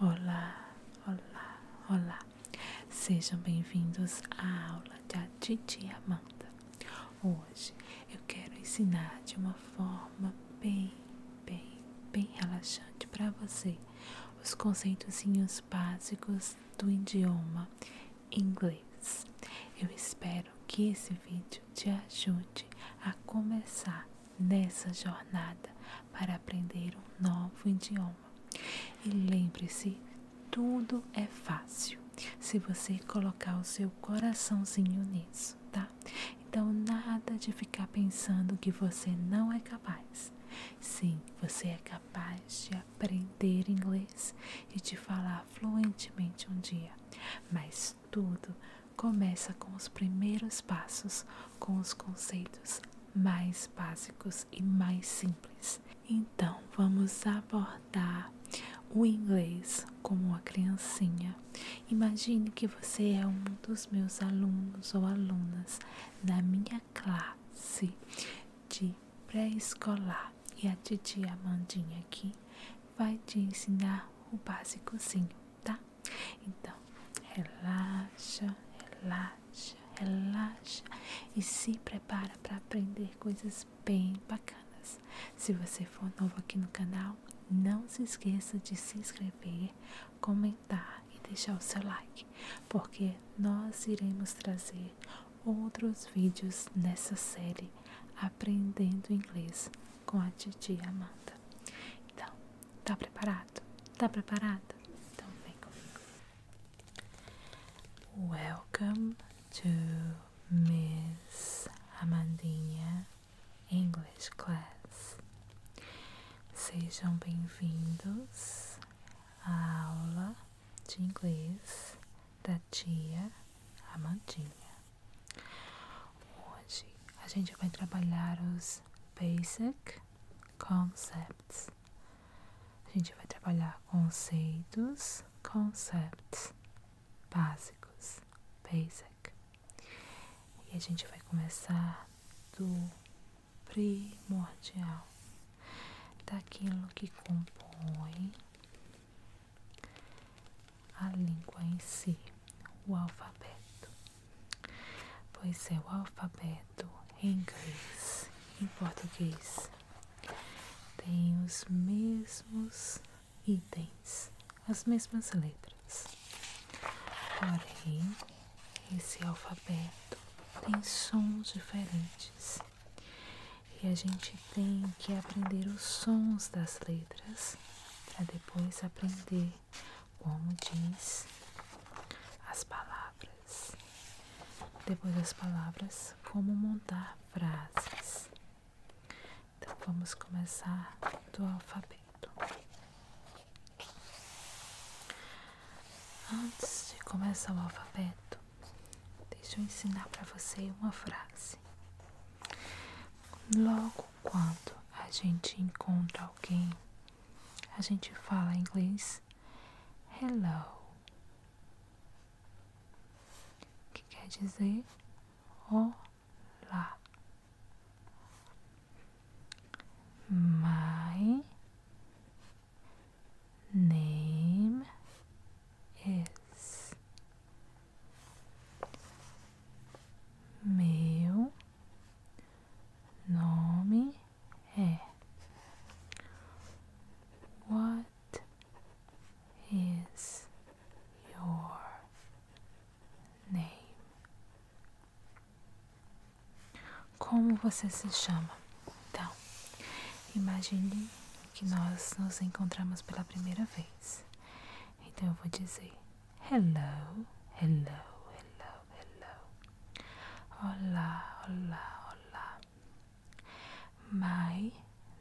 Olá, olá, olá. Sejam bem-vindos à aula da Titi Amanda. Hoje eu quero ensinar de uma forma bem, bem, bem relaxante para você os conceitozinhos básicos do idioma inglês. Eu espero que esse vídeo te ajude a começar nessa jornada para aprender um novo idioma. E lembre-se, tudo é fácil se você colocar o seu coraçãozinho nisso, tá? Então, nada de ficar pensando que você não é capaz. Sim, você é capaz de aprender inglês e de falar fluentemente um dia, mas tudo começa com os primeiros passos, com os conceitos mais básicos e mais simples. Então, vamos abordar o inglês como uma criancinha. Imagine que você é um dos meus alunos ou alunas na minha classe de pré-escolar e a titia Amandinha aqui vai te ensinar o básicozinho, tá? Então, relaxa, relaxa, relaxa e se prepara para aprender coisas bem bacanas. Se você for novo aqui no canal, não se esqueça de se inscrever, comentar e deixar o seu like, porque nós iremos trazer outros vídeos nessa série Aprendendo Inglês com a Titi Amanda. Então, está preparado? Tá preparado? Então vem comigo. Welcome to Miss Amandinha English Class. Sejam bem-vindos à aula de inglês da tia Amandinha. Hoje a gente vai trabalhar os basic concepts. A gente vai trabalhar conceitos, concepts básicos, basic. E a gente vai começar do primordial, daquilo que compõe a língua em si, o alfabeto pois é, o alfabeto em inglês e português tem os mesmos itens, as mesmas letras. Porém, esse alfabeto tem sons diferentes e a gente tem que aprender os sons das letras para depois aprender como diz as palavras. Depois das palavras, como montar frases. Então vamos começar do alfabeto. Antes de começar o alfabeto, deixe eu ensinar para você uma frase. Logo quando a gente encontra alguém a gente fala inglês hello, que quer dizer olá. My name is meu nome é What is your name? Como você se chama? Então, imagine que nós nos encontramos pela primeira vez. Então eu vou dizer hello, hello, hello. hello. Hola, hola, hola. My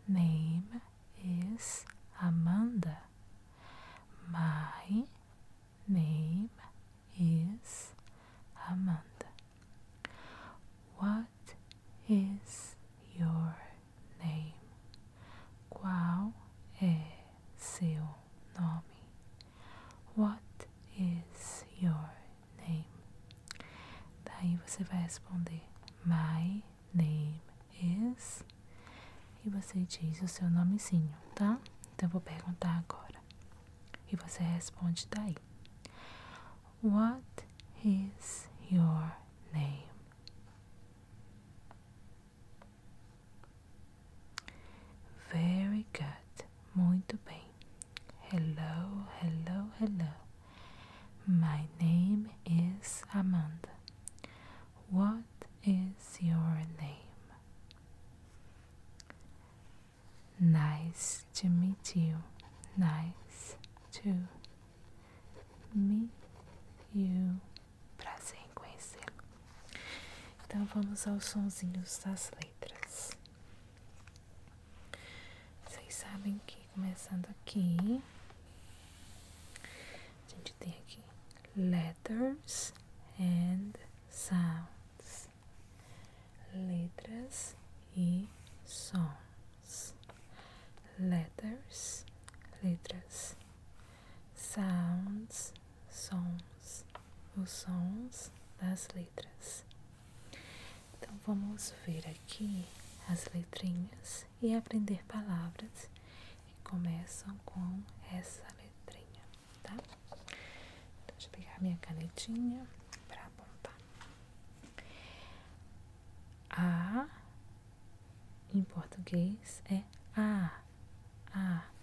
name is Amanda. My name is Amanda. What is your name? Qual é seu nome? What is your name? Daí você vai responder My name is e você diz o seu nomezinho, tá? Então eu vou perguntar agora. E você responde daí. What is your name? Very good, muito bem. Hello, hello, hello. My name is Amanda. What is your name? Nice to meet you. Nice to meet you. Prazer em conhece Então vamos aos sonzinhos das letras. Vocês sabem que começando aqui, a gente tem aqui letters and sounds. Letras e sons. Letters, letras, sounds, sons, os sons das letras. Então vamos ver aqui as letrinhas e aprender palavras que começam com essa letrinha, tá? Então, deixa eu pegar minha canetinha para apontar. A em português é a, a.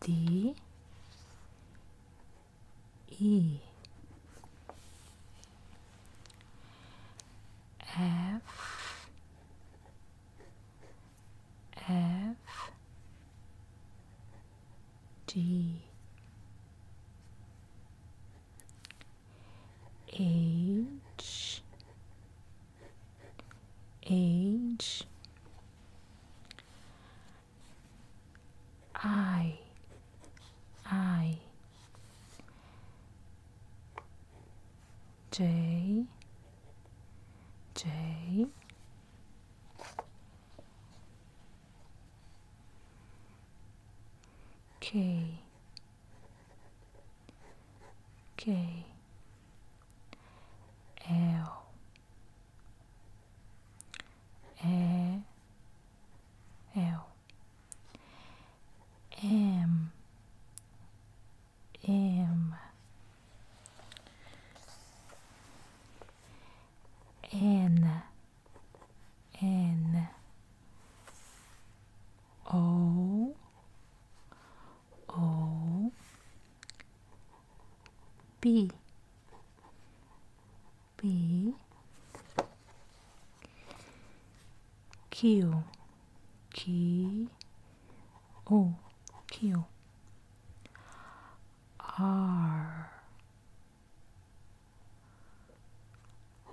D E F F G H H I I J J K K L a L M M N N O O B B Q Q O Q R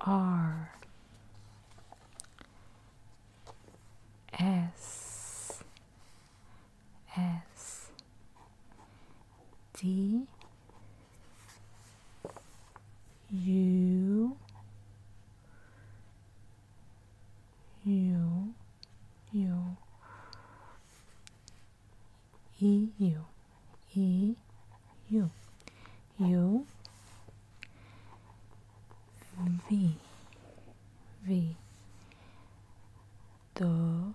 R S S D U U U E U E U U V V W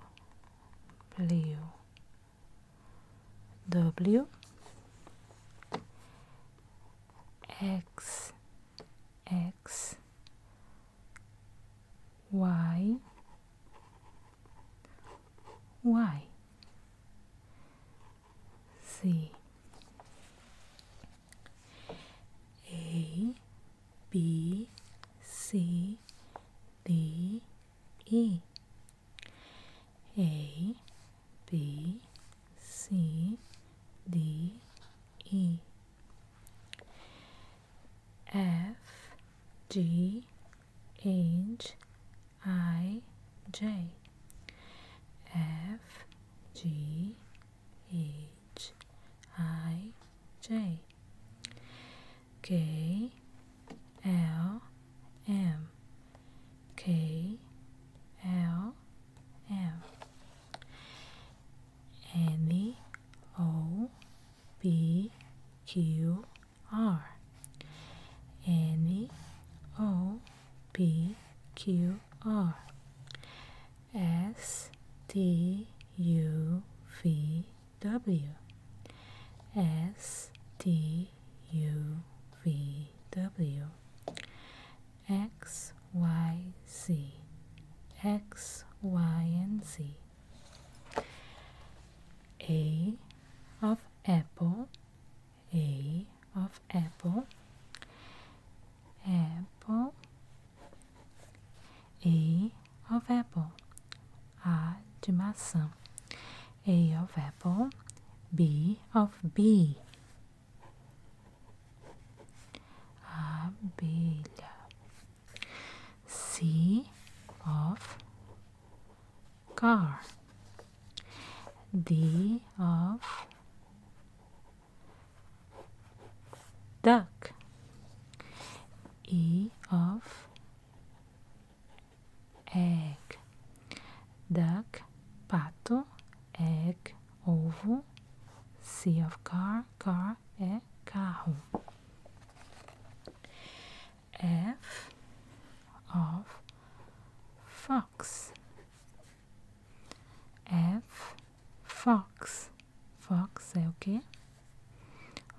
W X X Y Y C A B, C, D, E. A, B, C, D, E. F, G, H, I, J. F, G, H I J K L M K L M N O B Q R N O P Q R S T U V W S T U V W X Y Z X Y and Z A of apple A of apple apple A of apple. A de maçã. A of apple. B of bee. Abelha. C of car. D of duck e of egg duck pato egg ovo c of car car é carro f of fox f fox Fox é o quê?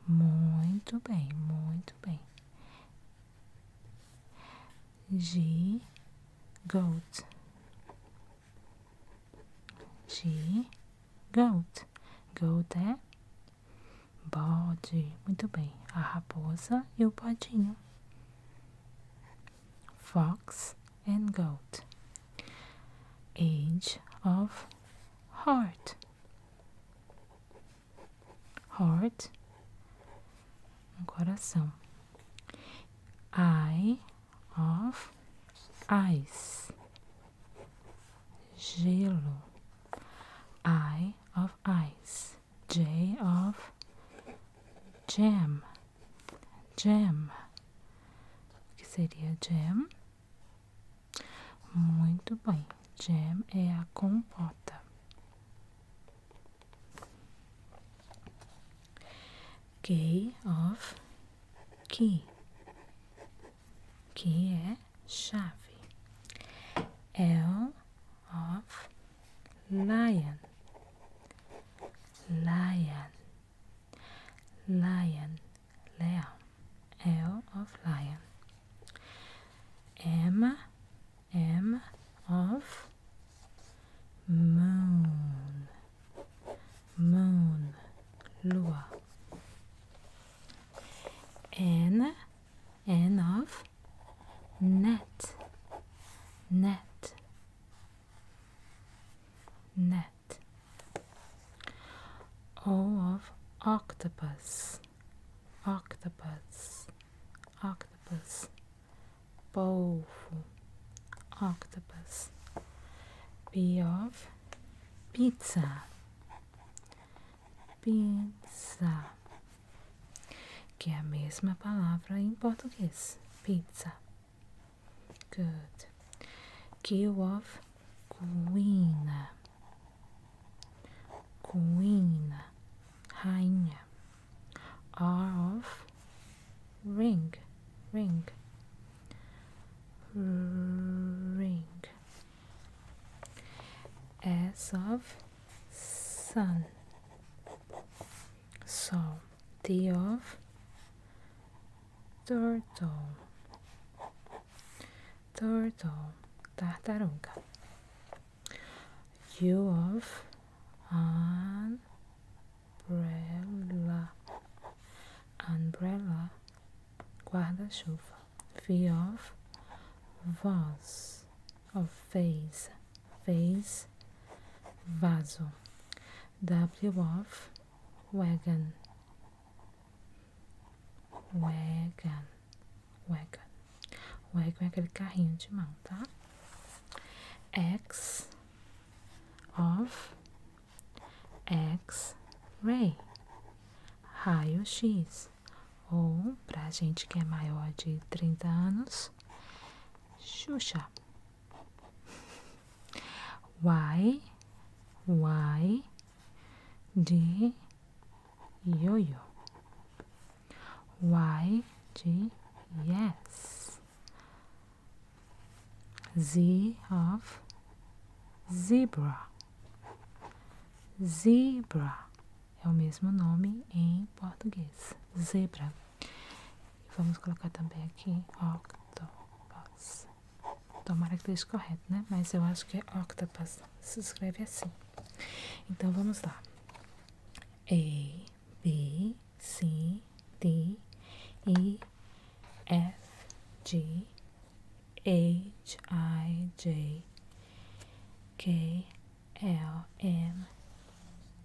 Muito bem, muito bem. G goat. G goat. Goat é bode. Muito bem. A raposa e o bodinho. Fox and goat. Age of heart. Heart, coração. Eye of ice, gelo. Eye of ice, J of jam, jam. que seria jam? Muito bem. Jam é a compota. Key of key. Que é chave. L of lion. Lion. Lion Leon, L of lion. M, M of moon, moon, lua. N, N of net, net, net. O of octopus, octopus, octopus, polvo, octopus. P of pizza, pizza, que é a mesma palavra em português, pizza. Good. Q of Queen, Queen, Rainha, R of ring, ring, ring, S of sun, so T of turtle turtle, tartaruga. u of umbrella, umbrella, guarda-chuva. V of vase, of face, face, vaso. W of wagon, Wagon. Wagon. Wagon é aquele carrinho de mão, tá? X of X-ray. Raio-X. Ou, pra gente que é maior de trinta anos, Xuxa. Y, Y, de yo. Y de yes. Z of zebra. Zebra é o mesmo nome em português. Zebra. Vamos colocar também aqui octopus. Tomara que esteja correto, né? Mas eu acho que é octopus. Se escreve assim. Então vamos lá. A, B, C, D, E, F, G, H, I, J, K, L, M,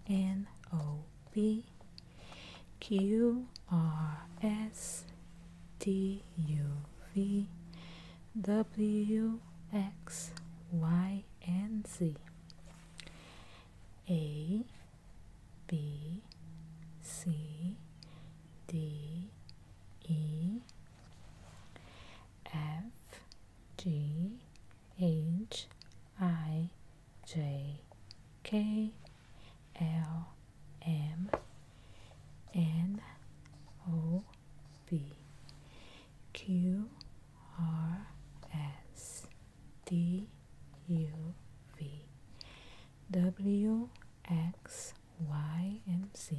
N, O, P, Q, R, S, T, U V W X Y and Z A B C D E F G H I J K L M N O P Q R S T U V W X Y and Z.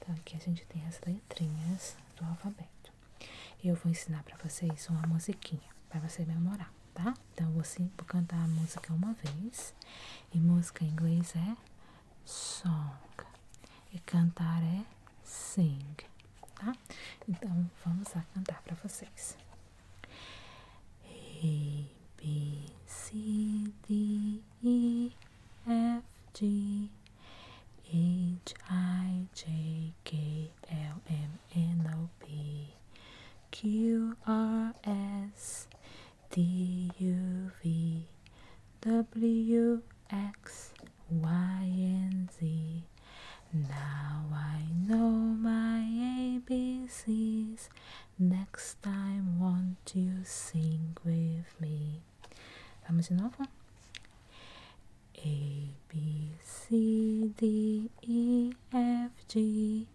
Então aqui a gente tem as letrinhas do alfabeto. Eu vou ensinar para vocês uma musiquinha para você memorar, tá? Então você vou cantar a música uma vez e música em inglês é song. E cantar é sing, tá? Então vamos lá cantar para vocês. A, B, C, D, E, F, G, H, I, J, K, L, M, N, O, P, Q, R, S, D U V W X Y and Z. Now I know my ABCs. Next time, won't you sing with me? Vamos de novo? A B C D E F G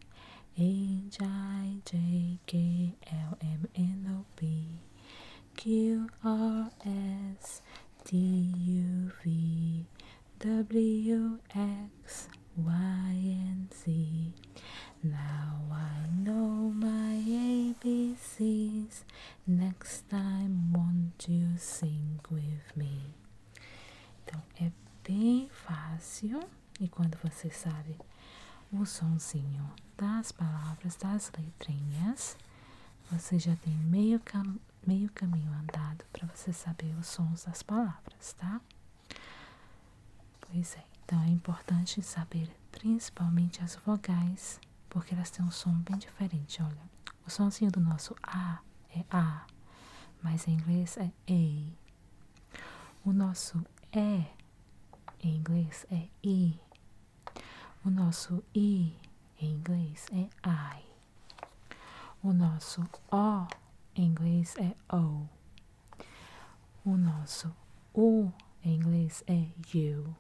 H I J K L M N O P Q R S T U V W X Y and Z. Now I know my ABCs. Next time, won't you sing with me? Então é bem fácil. E quando você sabe o sonzinho das palavras, das letrinhas, você já tem meio, caminho andado para você saber os sons das palavras, tá? Pois é, então é importante saber principalmente as vogais, porque elas têm um som bem diferente, olha. O sonzinho do nosso A é A, mas em inglês é E. O nosso E em inglês é I. O nosso I em inglês é I. O nosso O em inglês é O. O nosso U em inglês é U.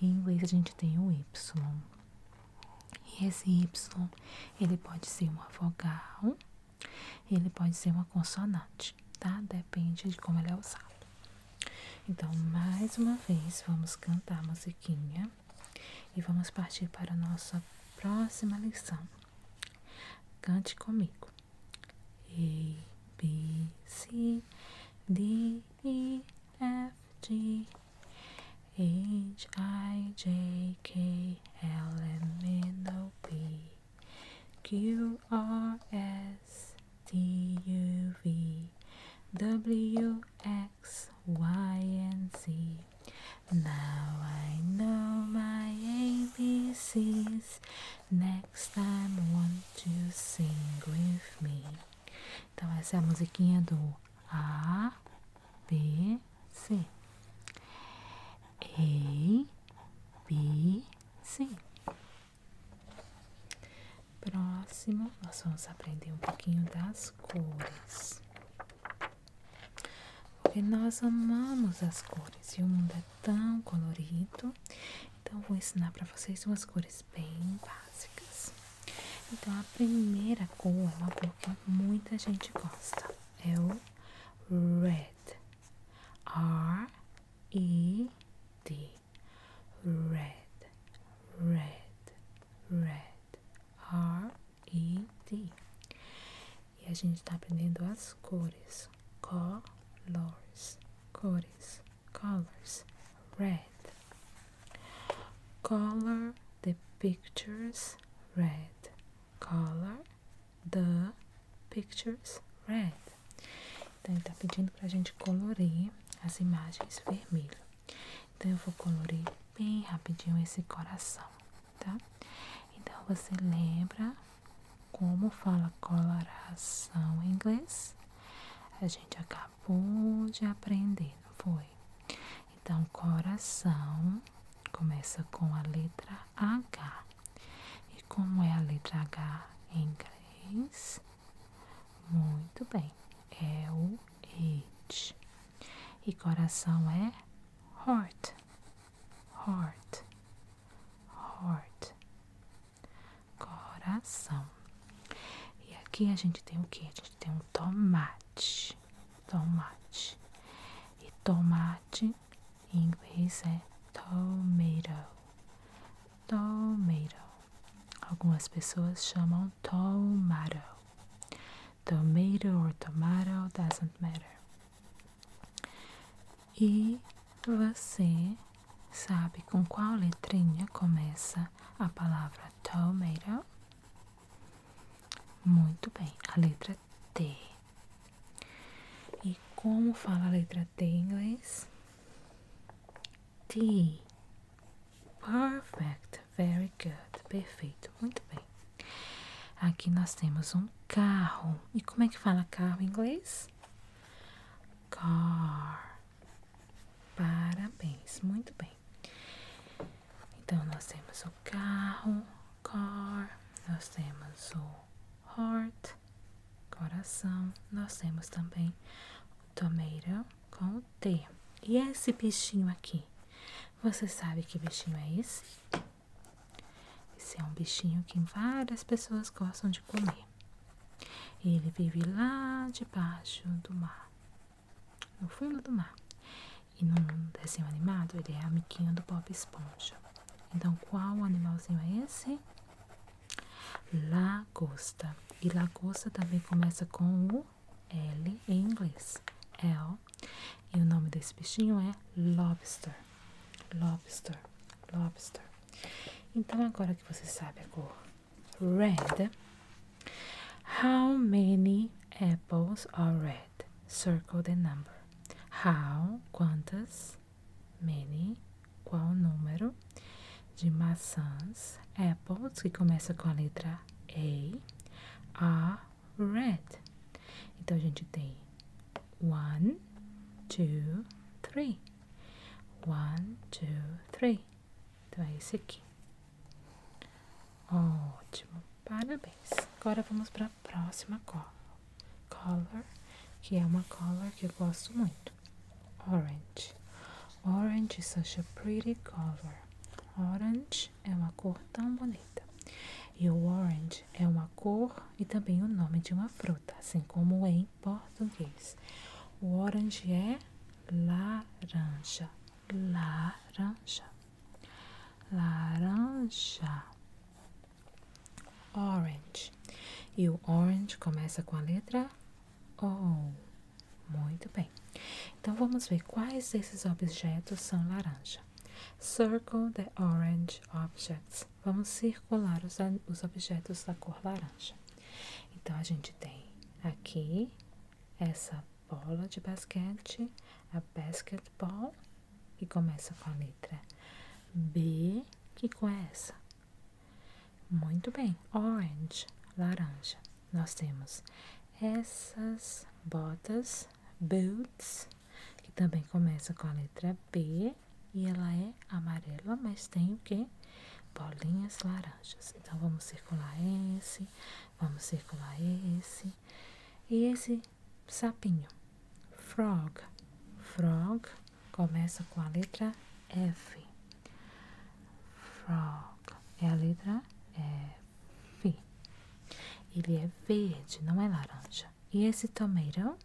Em inglês a gente tem o Y. E esse Y, ele pode ser uma vogal ele pode ser uma consonante, tá? Depende de como ele é usado. Então, mais uma vez, vamos cantar a musiquinha e vamos partir para a nossa próxima lição. Cante comigo. A, B, C, D, E, F, G, H, I, J, K, L, M, N, O, P. Q R S T U V W X Y and Z. Now I know my ABCs. Next time want to sing with me. Então essa é a musiquinha do A B C. A B Sim. Próximo, nós vamos aprender um pouquinho das cores. Porque nós amamos as cores e o mundo é tão colorido. Então, vou ensinar para vocês umas cores bem básicas. Então, a primeira cor é uma cor que muita gente gosta. É o red. R E D red red red R E D e a gente está aprendendo as cores colors cores colors red color the pictures red color the pictures red. Então, ele está pedindo para a gente colorir as imagens vermelho. Então, eu vou colorir bem rapidinho esse coração, tá? Então, você lembra como fala coração em inglês? A gente acabou de aprender, não foi? Então, coração começa com a letra H. E como é a letra H em inglês? Muito bem, é o it. E coração é heart, heart, heart. Coração. E aqui a gente tem o que? A gente tem um tomate, tomate. E tomate em inglês é tomato. Tomato. Algumas pessoas chamam tomato. Tomato or tomato doesn't matter. E você sabe com qual letrinha começa a palavra tomato? Muito bem, a letra T. E como fala a letra T em inglês? T. Perfect. Very good. Perfeito. Muito bem. Aqui nós temos um carro. E como é que fala carro em inglês? Car. Parabéns. Muito bem. Então nós temos o carro, car, nós temos o heart, coração. Nós temos também o tomeirão com o T. E esse bichinho aqui? Você sabe que bichinho é esse? Esse é um bichinho que várias pessoas gostam de comer. Ele vive lá debaixo do mar, no fundo do mar. E no desenho animado, ele é amiguinho do Bob Esponja. Então, qual animalzinho é esse? Lagosta. E lagosta também começa com o L em inglês. L. E o nome desse bichinho é lobster. Lobster. Lobster. Então, agora que você sabe a cor red, how many apples are red? Circle the number. How, quantas? many, qual o número de maçãs, apples, que começa com a letra A, are red. Então, a gente tem one, two, three. One, two, three. Então, é esse aqui. Ótimo, parabéns. Agora vamos para a próxima cor, Color, que é uma color que eu gosto muito. Orange. Orange is such a pretty color. Orange é uma cor tão bonita. E o orange é uma cor e também o nome de uma fruta, assim como em português. O orange é laranja. Laranja. Laranja orange. E o orange começa com a letra O. Muito bem. Então vamos ver quais desses objetos são laranja. Circle the orange objects. Vamos circular os, objetos da cor laranja. Então a gente tem aqui essa bola de basquete, a basketball, que começa com a letra B, que com é essa? Muito bem, orange, laranja. Nós temos essas botas, boots, que também começa com a letra B e ela é amarela, mas tem o que? Bolinhas laranjas. Então vamos circular esse, vamos circular esse e esse sapinho. Frog. Frog começa com a letra F. Frog é a letra F. Ele é verde, não é laranja. E esse tomato?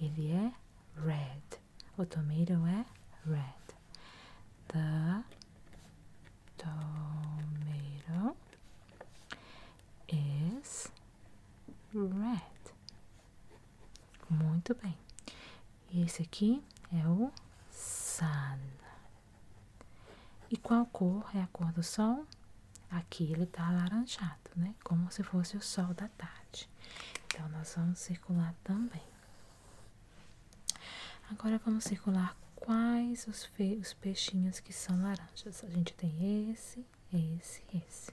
Ele é red. O tomato é red. The tomato is red. Muito bem. esse aqui é o sun. E qual cor é a cor do sol? Aqui ele está alaranjado, né? Como se fosse o sol da tarde. Então, nós vamos circular também. Agora, vamos circular quais os peixinhos que são laranjas. A gente tem esse, esse, esse.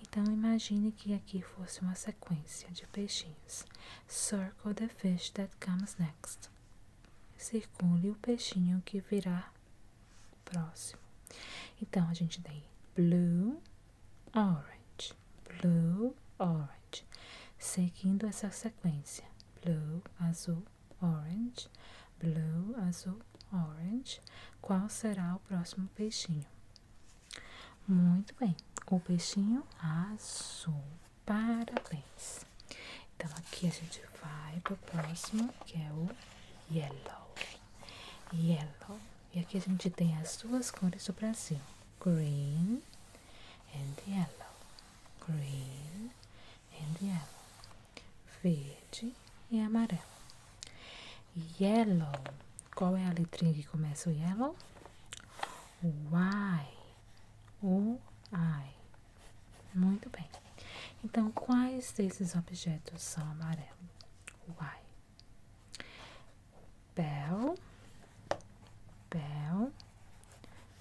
Então imagine que aqui fosse uma sequência de peixinhos. Circle the fish that comes next. Circule o peixinho que virá próximo. Então a gente tem blue, orange, blue, orange, seguindo essa sequência. Blue, azul, orange, blue, azul, orange, qual será o próximo peixinho? Muito bem, o peixinho azul. Parabéns. Então aqui a gente vai para o próximo, que é o yellow. Yellow. E aqui a gente tem as duas cores do Brasil: green and yellow. Green and yellow. Verde e amarelo. Yellow. Qual é a letrinha que começa o yellow? Y. O I. Muito bem. Então, quais desses objetos são amarelos? Why? Bell, bell,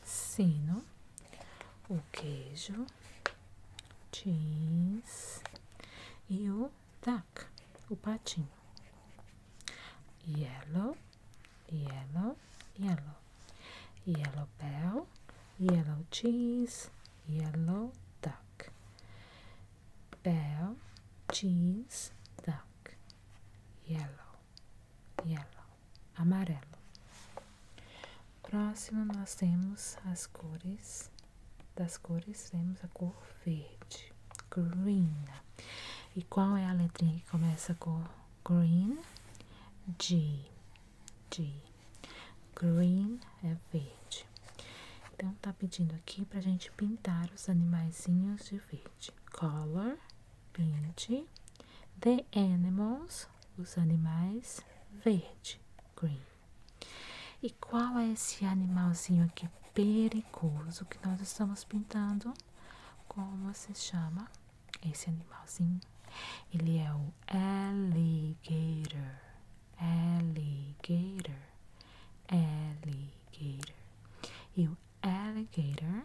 sino, o queijo, jeans e o tac, o patinho. Yellow, yellow, yellow. Yellow bell, yellow cheese, yellow duck. Bell, cheese, duck. Yellow, yellow, amarelo. Próximo nós temos as cores das cores temos a cor verde, green. E qual é a letrinha que começa com green? G. G. Green é verde. Então está pedindo aqui para a gente pintar os animaizinhos de verde. Color, paint, the animals, os animais, verde, green. E qual é esse animalzinho aqui perigoso que nós estamos pintando? Como se chama esse animalzinho? Ele é o alligator. Alligator. Alligator. E o alligator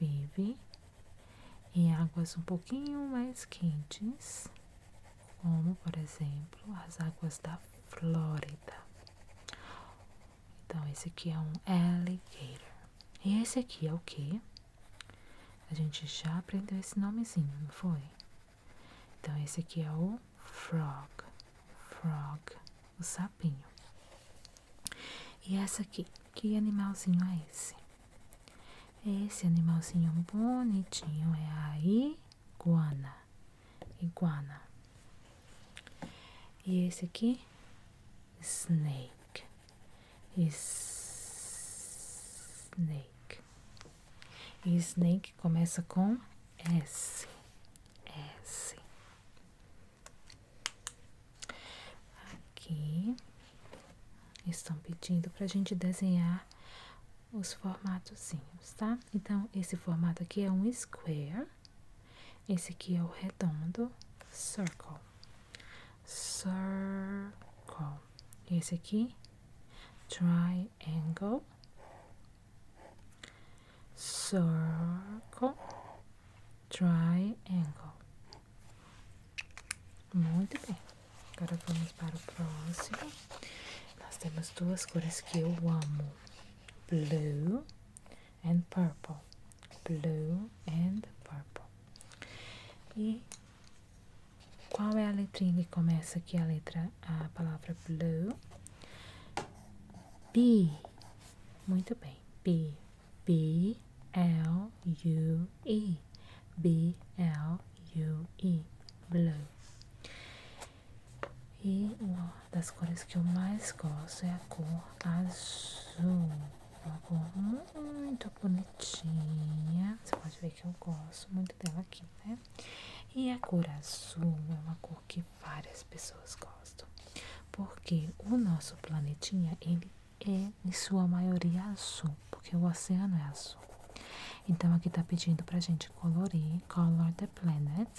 vive em águas um pouquinho mais quentes como por exemplo as águas da Flórida. Então esse aqui é um alligator. E esse aqui é o quê? A gente já aprendeu esse nomezinho, não foi? Então esse aqui é o frog, frog, o sapinho. E essa aqui, que animalzinho é esse? Esse animalzinho bonitinho é a iguana iguana. E esse aqui, snake. Snake. snake começa com S. S. Aqui estão pedindo para a gente desenhar os formatozinhos, tá? Então, esse formato aqui é um square, esse aqui é o redondo, circle, circle, esse aqui, triangle, circle, triangle. Muito bem, agora vamos para o próximo. Nós temos duas cores que eu amo: blue and purple. Blue and purple. E qual é a letrinha que começa aqui a letra a palavra blue? B. Muito bem. B. B L U E. B L U E. Blue. E uma das cores que eu mais gosto é a cor azul. Uma cor muito bonitinha. Você pode ver que eu gosto muito dela aqui, né? E a cor azul é uma cor que várias pessoas gostam. Porque o nosso planetinha, ele é em sua maioria azul. Porque o oceano é azul. Então aqui tá pedindo pra gente colorir, color the planet,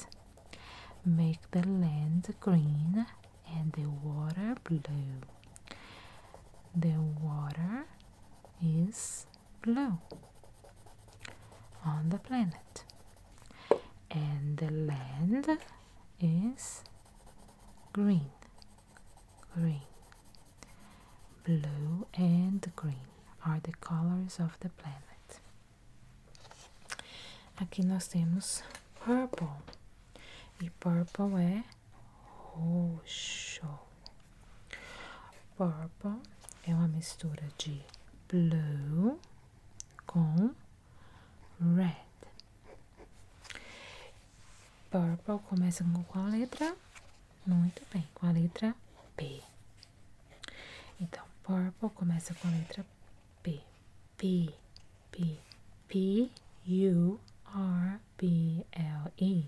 make the land green and the water blue. The water is blue on the planet. And the land is green, green, blue and green. are the colors of the planet. Aqui nós temos purple. E purple é roxo. Purple é uma mistura de blue com red. Purple começa com qual letra? Muito bem, com a letra P. Então, purple começa com a letra P. P, P, P, U, R, P, L, E.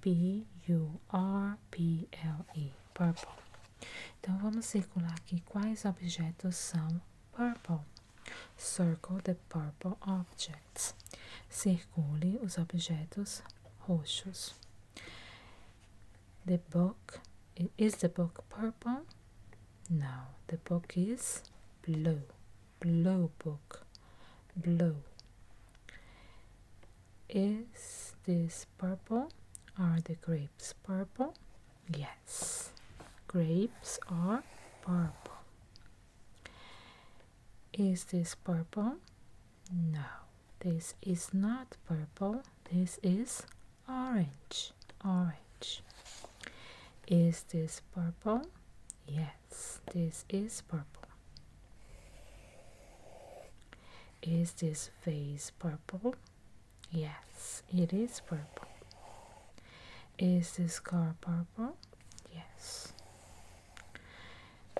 P, U, R, P, L, E. Purple. Então, vamos circular aqui quais objetos são purple. Circle the purple objects. Circule os objetos roxos. the book is the book purple no the book is blue blue book blue is this purple are the grapes purple yes grapes are purple is this purple no, this is not purple, this is orange. Orange. Is this purple? Yes, this is purple. Is this face purple? Yes, it is purple. Is this car purple? Yes.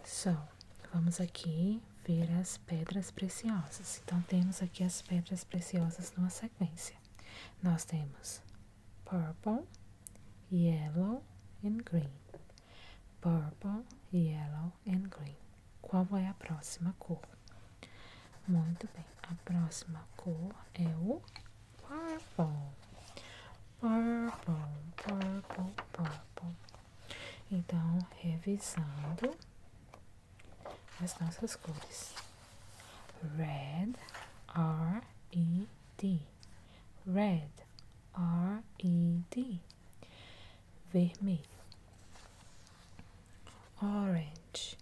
Então, vamos aqui ver as pedras preciosas. Então, temos aqui as pedras preciosas numa sequência. Nós temos purple, yellow and green. Purple, yellow and green. Qual é a próxima cor? Muito bem, a próxima cor é o purple. Purple, purple, purple. Então, revisando as nossas cores. Red, R-E-D. Red, R-E-D. Vermelho. Orange,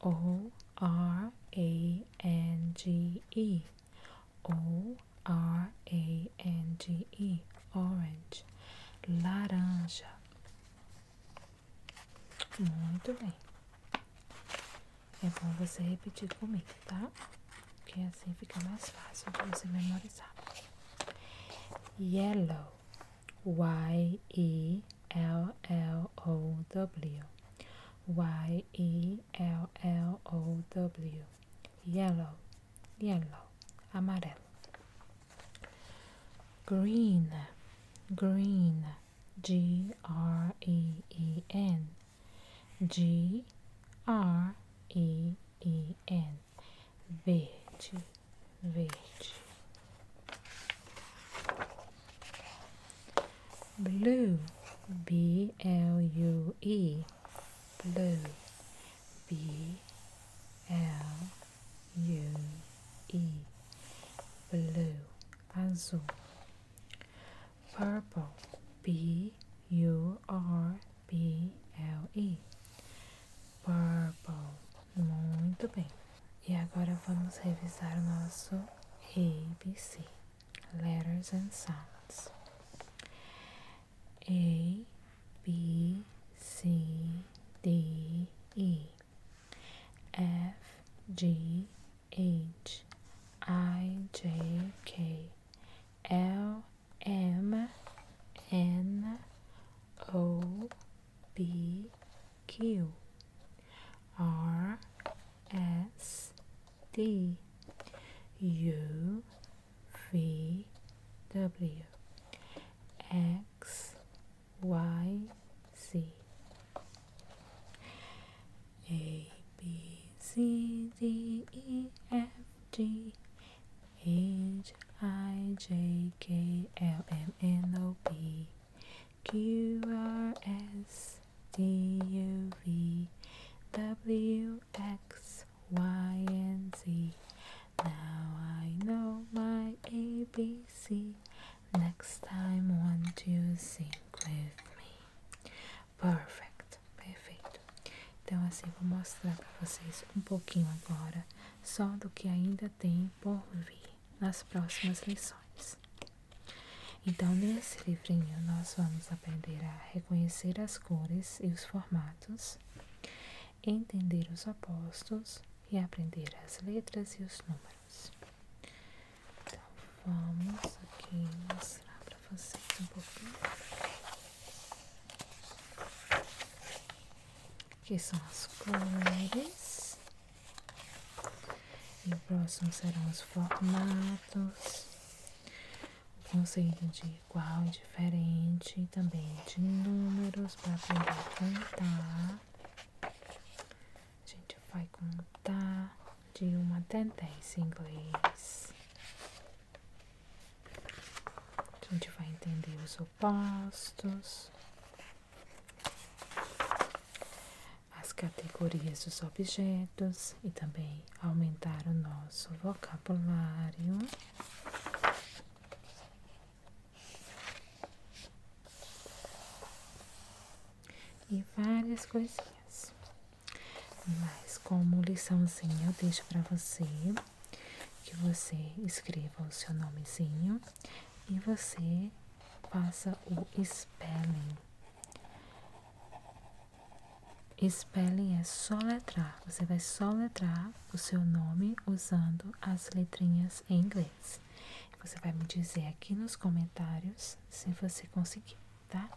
O-R-A-N-G-E. o r a n o r n g e orange, laranja. Muito bem. É bom você repetir comigo, tá? que assim fica mais fácil você memorizar. Yellow, Y-E-L-L-O-W, Y-E-L-L-O-W, yellow, yellow, amarelo. green green g r e e n g r e e n verde verde blue b l u e blue B L U E blue azul purple B U R P L E purple muito bem e agora vamos revisar o nosso ABC letters and sounds A, B, C, D, E, F, G, H, I, J, K, L, M, N, O, P, Q, R, S, T, U. V W X Y Z A B C D E F G H I J K L M N O P Q R S T U V W X Y and Z Now I know my ABC. Next time, want you sing with me? Perfect, perfeito. Então, assim, vou mostrar para vocês um pouquinho agora, só do que ainda tem por vir nas próximas lições. Então, nesse livrinho, nós vamos aprender a reconhecer as cores e os formatos entender os apostos e aprender as letras e os números. Então, vamos aqui mostrar para vocês um pouquinho. Aqui são as cores. E o próximo serão os formatos, o conceito de igual e diferente também de números para poder contar. A gente vai contar de uma até 10 em inglês. A gente vai entender os opostos, as categorias dos objetos e também aumentar o nosso vocabulário. E várias coisinhas. Mas como liçãozinha eu deixo para você que você escreva o seu nomezinho e você faça o spelling. Spelling é só letrar, Você vai só letrar o seu nome usando as letrinhas em inglês. Você vai me dizer aqui nos comentários se você conseguir, tá?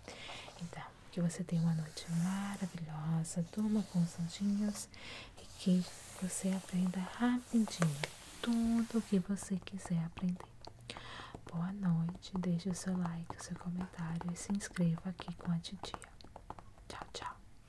Então, que você tenha uma noite maravilhosa, durma com os anjinhos e que você aprenda rapidinho tudo o que você quiser aprender. Boa noite, deixe o seu like, o seu comentário e se inscreva aqui com a titia. Tchau, tchau.